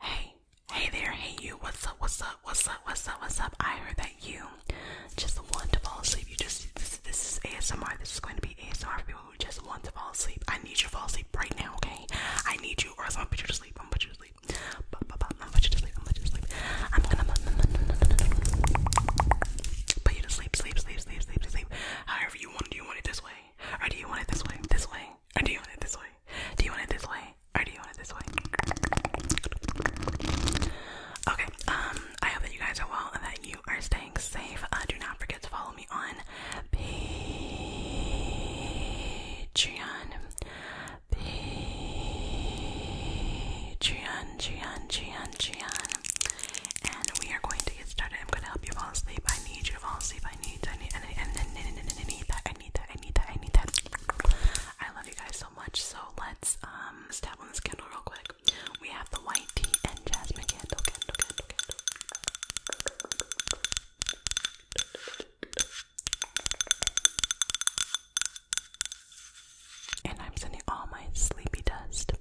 Hey, hey there, hey you, what's up, what's up, what's up, what's up, what's up? I heard that you just want to fall asleep. You just this this is ASMR. This is going to be ASMR for people who just want to fall asleep. I need you to fall asleep right now, okay? I need you or else I'm gonna put you to sleep. I'm gonna put you to sleep. I'm gonna put you to sleep, I'm going you to sleep. I'm gonna put you to sleep, sleep, sleep, sleep, sleep, sleep. However you want it, you want it this way. Or do you want it this way? This way? Or do you want it this way? Do you want it this way? Or do you want it this way? Okay, um, I hope that you guys are well and that you are staying safe. Uh, do not forget to follow me on Patreon. Patreon, Patreon, Patreon, Patreon and we are going to get started. I'm going to help you fall asleep. I need you to fall asleep. I need, I need, I need, I need that. I need that. I need that. I need that. I love you guys so much. So let's um step on this candle real quick. We have the white tea and jasmine candle, candle, candle, candle. And I'm sending all my sleepy dust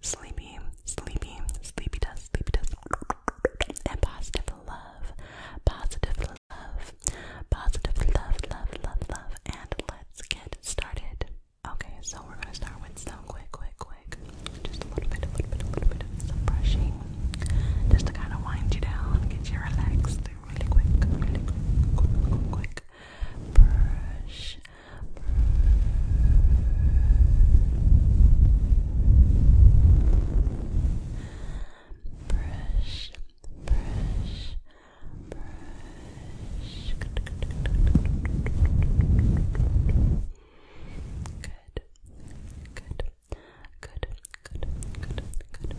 sleepy, sleepy, sleepy test, sleepy test, and positive love, positive love, positive love, love, love, love, and let's get started. Okay, so we're gonna start with some quick, quick, quick, just a little bit, a little bit, a little bit of some brushing, just to kind of wind you down, get you relaxed, really quick, really quick, quick, quick, brush, brush, brush, brush. Good, good, good, good, good, good, good, good. Good,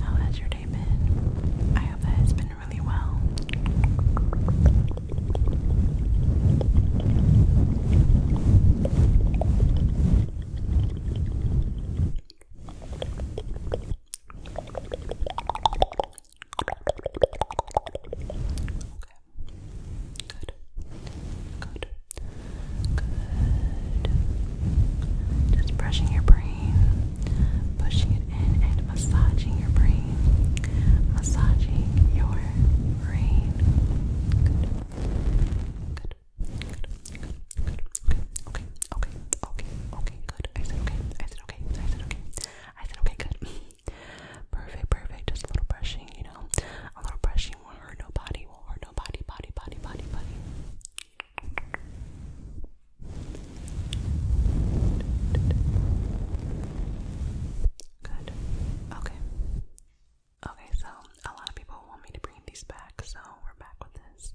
how oh, has your day been? I hope that has been really well. Okay. Good. Good. Good. Just brushing your brain, pushing it in and massaging your brain, massaging your brain. Good. Good. Good. Good. Good. Okay. Okay. Okay. Okay. Good. I said okay. I said okay. I said okay. I said okay. Good. Perfect. Perfect. Just a little brushing, you know, a little brushing Nothing will hurt nobody. Will hurt nobody. Body, body, body, body. Good. Okay. Okay, so a lot of people want me to bring these back, so we're back with this.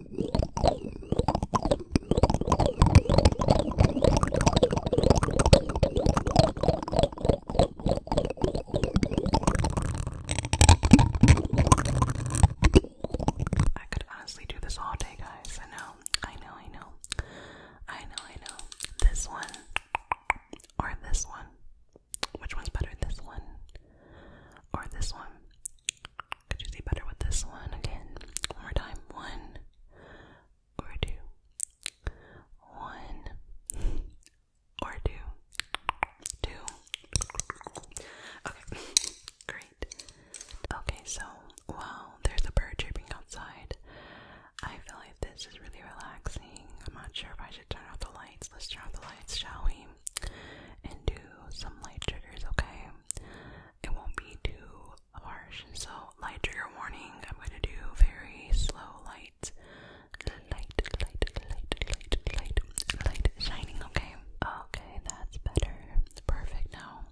I could honestly do this all day, guys. I know, I know, I know, I know, I know. This one or this one. Which one's better? This one or this one? Could you do better with this one again? One more time. One or two. One or two. Two. Okay, great. Okay, so while there's a bird chirping outside, I feel like this is really relaxing. I'm not sure if I should turn off the lights. Let's turn off the lights, shall we? And do some light triggers, okay? It won't be too harsh, so light trigger warning. I'm going to do very slow light, light, light, light, light, light, light shining. Okay, okay, that's better. Perfect. Now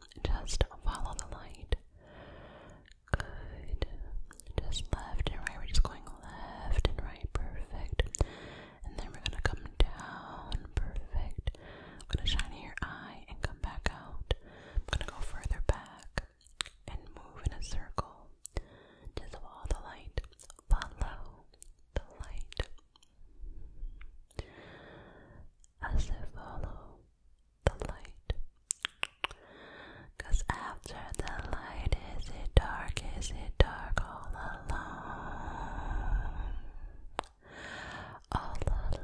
just follow the light. Good. Just left and right. We're just going left and right. Perfect. And then we're gonna come down. Perfect. I'm gonna shine in your eye and come back out. I'm gonna go further back and move in a circle. to follow the light. Follow the light. I said follow the light. Cause after the light is it dark, is it dark all alone? all alone.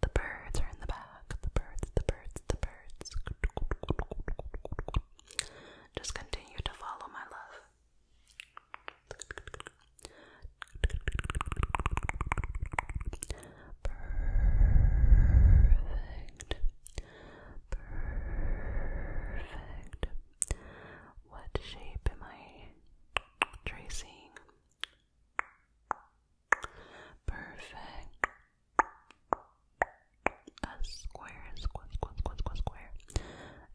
The birds are in the back. The birds, the birds, the birds. Just continue to follow my love. Perfect. Perfect. What shape am I tracing? Perfect. A square, square, square, square, square, square.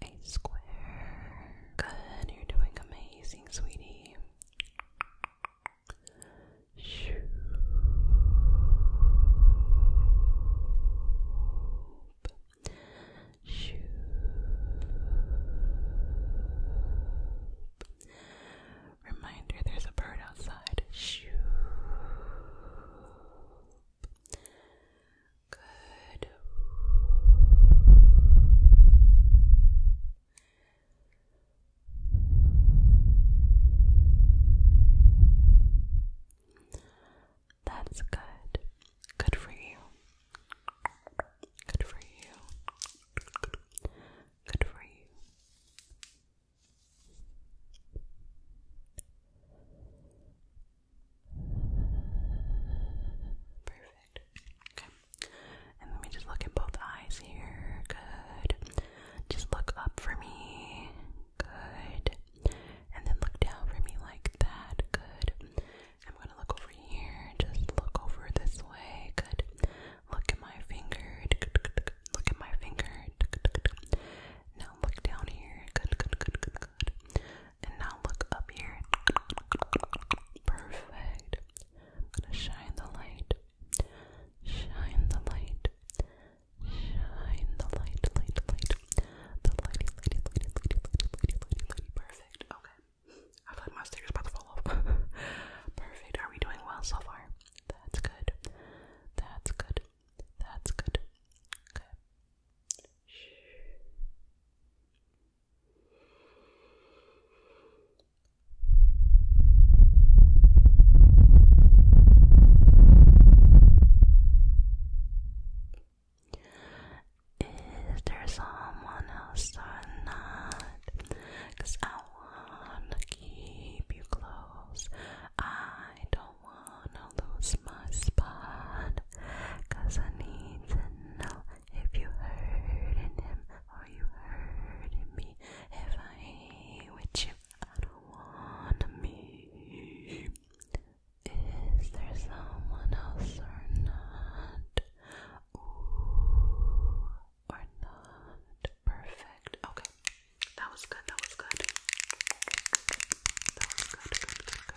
A square. Good, you're doing amazing, sweetie. Shoo. Shoop. Reminder there's a bird outside. Shoop. Good. That's good. Good for you. Good for you. Good for you. Perfect. Okay. And let me just look at both eyes here. Good. Just look up for me. Good and then look down for me like that. Good. I'm gonna look over here. Just look over this way. Good. Look at my finger. Look at my finger. Now look down here. Good, good, good, good, good. And now look up here. Perfect. I'm gonna shine the light. Shine the light. Shine the light, light, light. The lighty, lighty, lighty, lighty, lighty, lighty, lighty, lighty. Perfect. Okay. I feel like my sticker's about to fall Perfect. Are we doing well so far? That's good. That's good. That's good. Okay. Shh. Is there someone else or not? Cause I wanna keep you close. I don't wanna lose my spot. Cause I need to know if you hurting him or you hurting me. If I hate with you, I don't wanna Is there someone else or not? or not? Perfect. Okay, that was good. That was good. That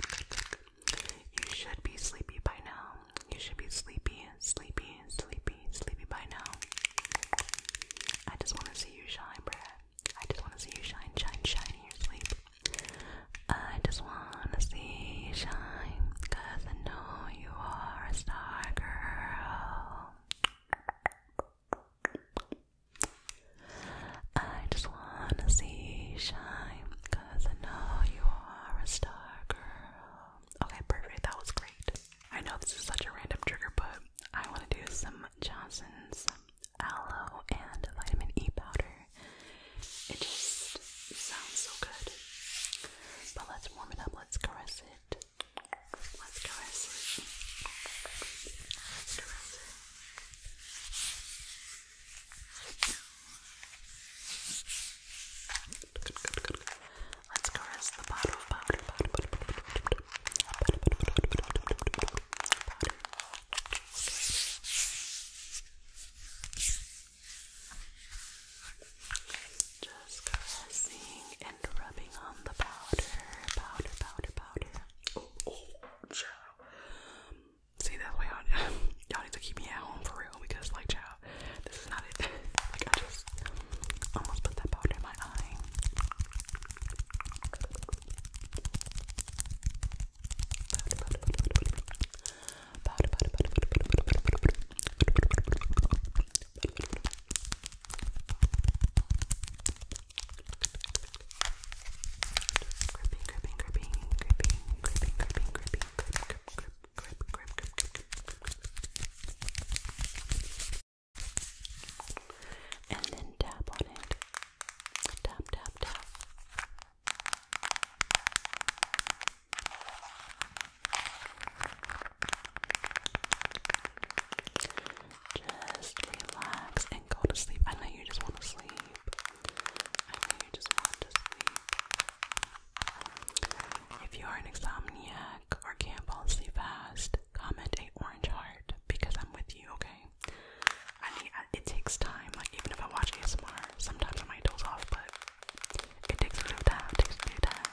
was good. You should be sleepy by now. You should be sleepy, sleepy, sleepy, sleepy by now. I just want to see you shine, Brad. I just want to see you shine, shine, shine in your sleep. I just want to see you shine, cause I know you are a star girl. I just want to see you shine, cause I know you are a star girl. Okay, perfect. That was great. I know this is such a random trigger, but I want to do some Johnson's aloe and vitamin E powder. It just sounds so good. But let's warm it up, let's caress it. Let's caress it. Let's caress the bottle just caressing and rubbing on the powder, powder, powder, powder. Oh, oh, child. See, that's why y'all, y'all need to keep me at home for real because, like, child, this is not it. like, I just almost put that powder in my eye and then tap on it. Tap, tap, tap. Just relax and go to sleep. I know you just want to sleep. I know you just want to sleep. If you are an insomniac or can't fall asleep fast, comment a orange heart because I'm with you, okay? I mean, it takes time. Like even if I watch ASMR, sometimes I might doze off, but it takes a bit time. takes a bit of time.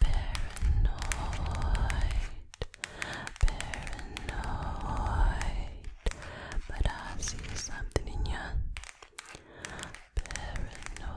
paranoid, paranoid. But I see something in you. Paranoid.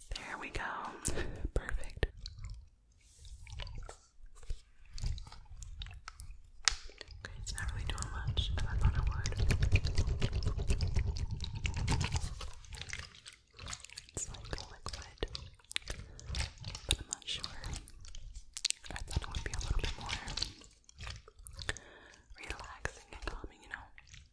There we go. Perfect. it's not really doing much, I thought it would. It's like a liquid, but I'm not sure. I thought it would be a little bit more relaxing and calming, you know?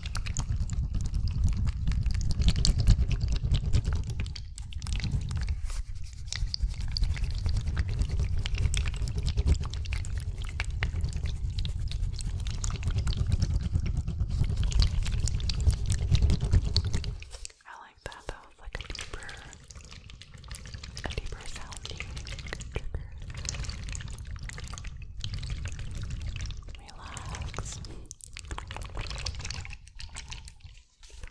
I like that. That was like a deeper, a deeper sounding Relax. I'm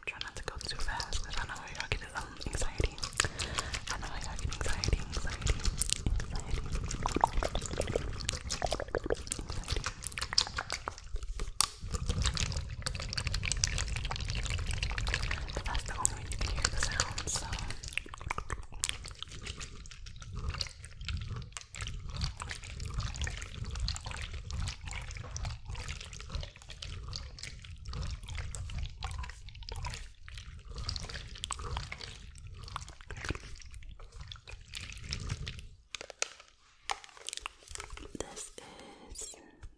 trying not to go too fast because I know y'all get um, anxiety. I know y'all get anxiety, anxiety, anxiety, that's the only way you hear the sound, this is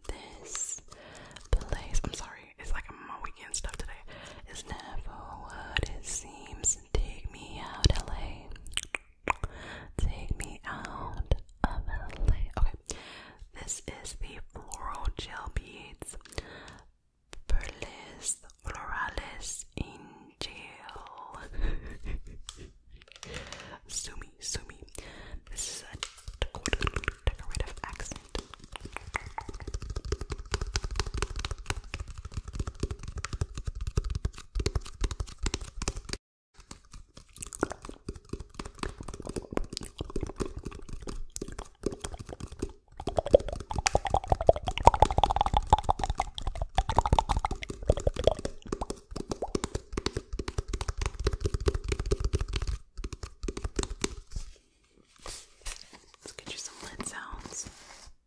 this place. I'm sorry, it's like my weekend stuff today. It's never what it seems Take me out, LA. Take me out of LA. Okay, this is the floral gel beads. Perles florales in jail. sumi, sumi. This is a decorative accent. Let's get you some lid sounds. I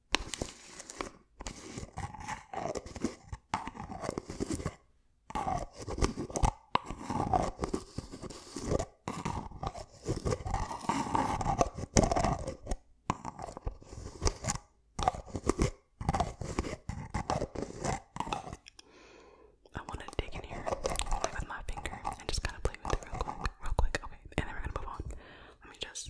want to dig in here, with my finger, and just kind of play with it real quick, real quick. Okay, and then we're gonna move on. Let me just.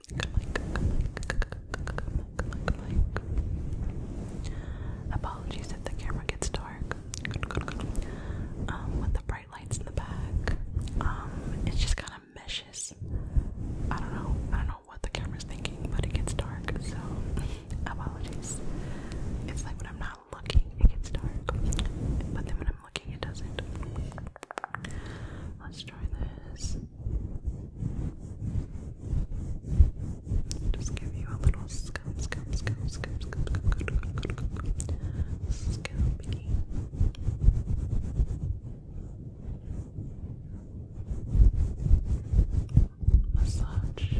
Apologies if the camera gets dark. Um, with the bright lights in the back, um, it's just kind of meshes. I don't know. I don't know what the camera's thinking, but it gets dark. So apologies. It's like when I'm not looking, it gets dark. But then when I'm Let's try this. Just give you a little scum, scum, scum, scum, scum, scum, scum, scum, scalpy. Massage.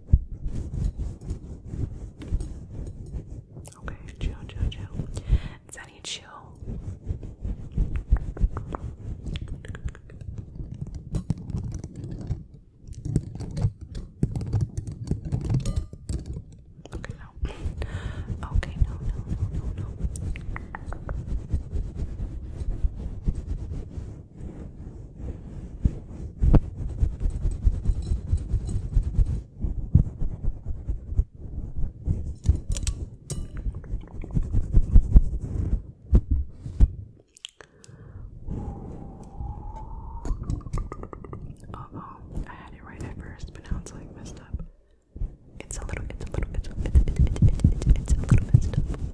Okay, chill, chill, chill. Sunny, chill. Okay, no. Okay, no, no, no, no, no. Uh oh, I had it right at first, but now it's like messed up. It's a little, it's a little, it's a, little messed up.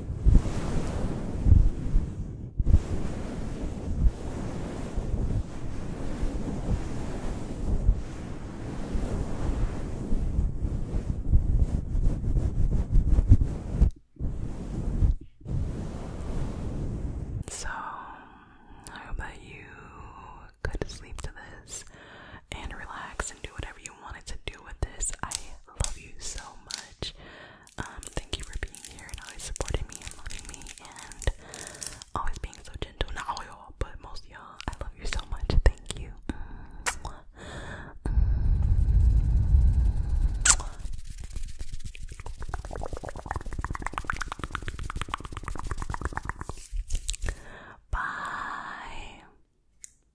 So, I hope that you could sleep to this and relax and do whatever you wanted to do with this. I love you so much. Um, thank you for being here and always supporting me and loving me and always being so gentle. Not all y'all, but most of y'all. I love you so much. Thank you. Bye.